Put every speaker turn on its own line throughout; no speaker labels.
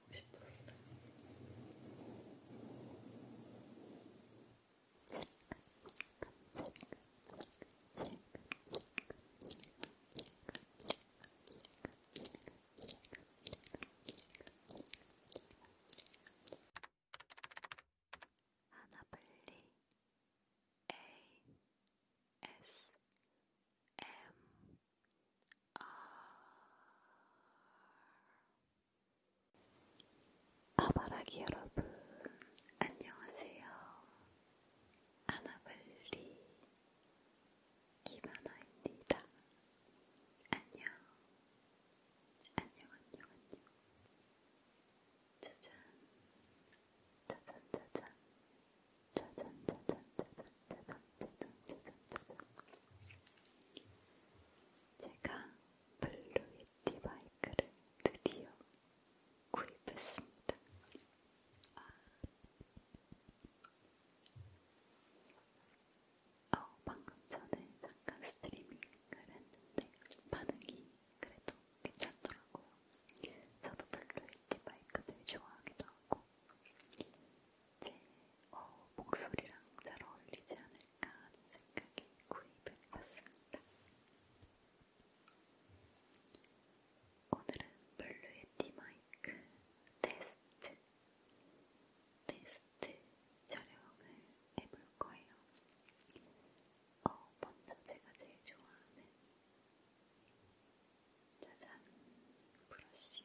보고 싶었어. 하나블리 A S M R 아바라기 여러분, 안녕하세요. 아나블리 김하나입니다. 안녕, 안녕, 안녕, 안녕. 짜잔, 짜잔, 짜잔, 짜잔, 짜잔, 짜잔, 짜잔, 짜잔,
짜잔, 짜잔. 제가 블루이티 마이크를 드디어 구입했습니다. 아. 어, 방금 전에 잠깐 스트리밍을 했는데 반응이 그래도 괜찮더라고요. 저도 블루이티 마이크 되게 좋아하기도 하고 어, 목소리랑 잘 어울리지 않을까 하는 생각에 구입을 해봤습니다. 오늘은 블루의 디마이크 테스트 테스트 촬영을 해볼 거예요. 어, 먼저 제가 제일 좋아하는 짜잔 브러쉬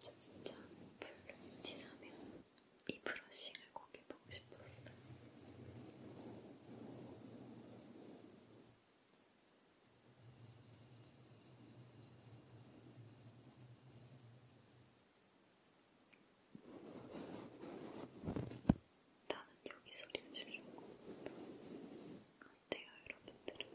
저 진짜 별로 티사면 이 브러싱을 꼭 해보고 싶었어요. 나는 여기 소리를 지르고 어때요, 여러분들은?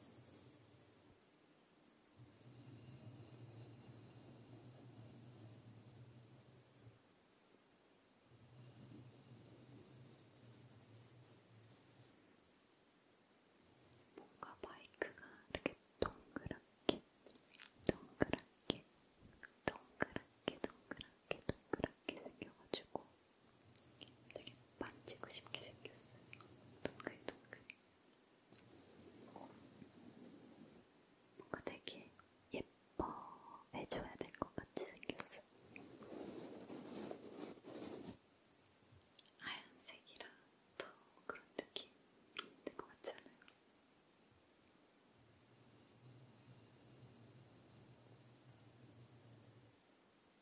뭔가 마이크가 이렇게 동그랗게, 동그랗게, 동그랗게, 동그랗게, 동그랗게 생겨가지고 되게 만지고 싶게 생겼어요. 동글동글. 뭔가 되게 예뻐해줘야 될 것 같이 생겼어. 하얀색이라 더 그런 느낌 낼것 같지 않아요?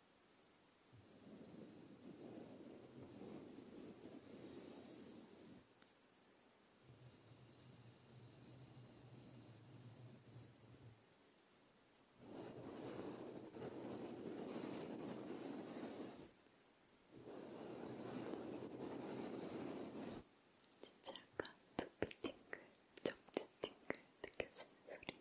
진짜 약간 두피 띵글, 적주 띵글 느껴지는 소리예요.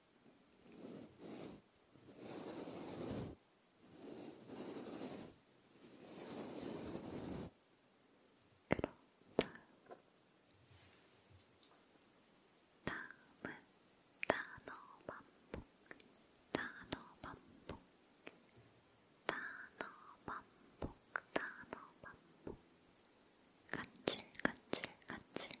그럼 다음 다음은 단어 반복 단어 반복 단어 반복 단어 반복 간질 간질 간질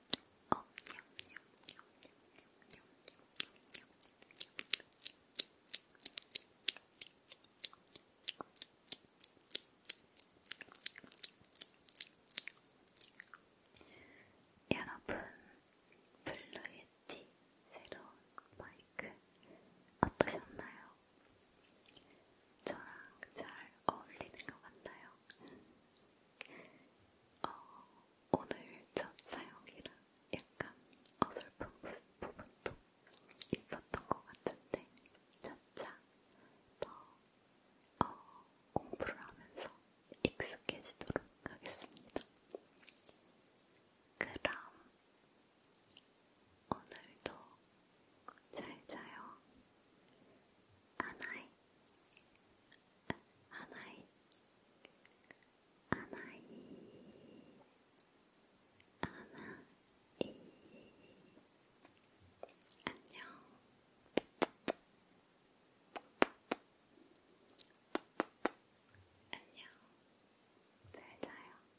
어, 여러분, 블루예티 새로운 마이크 어떠셨나요? 저랑 잘 어울리는 것 같나요? 어, 오늘 첫 사용이라 약간 어설픈 부분도 있었던 것 같은데 차차 더 어, 공부를 하면서 익숙해지도록 하겠습니다. 그럼 오늘도 잘 자요. 아나이. 하나이, 하나이, 하나이. 안녕. 안녕. 잘 자요.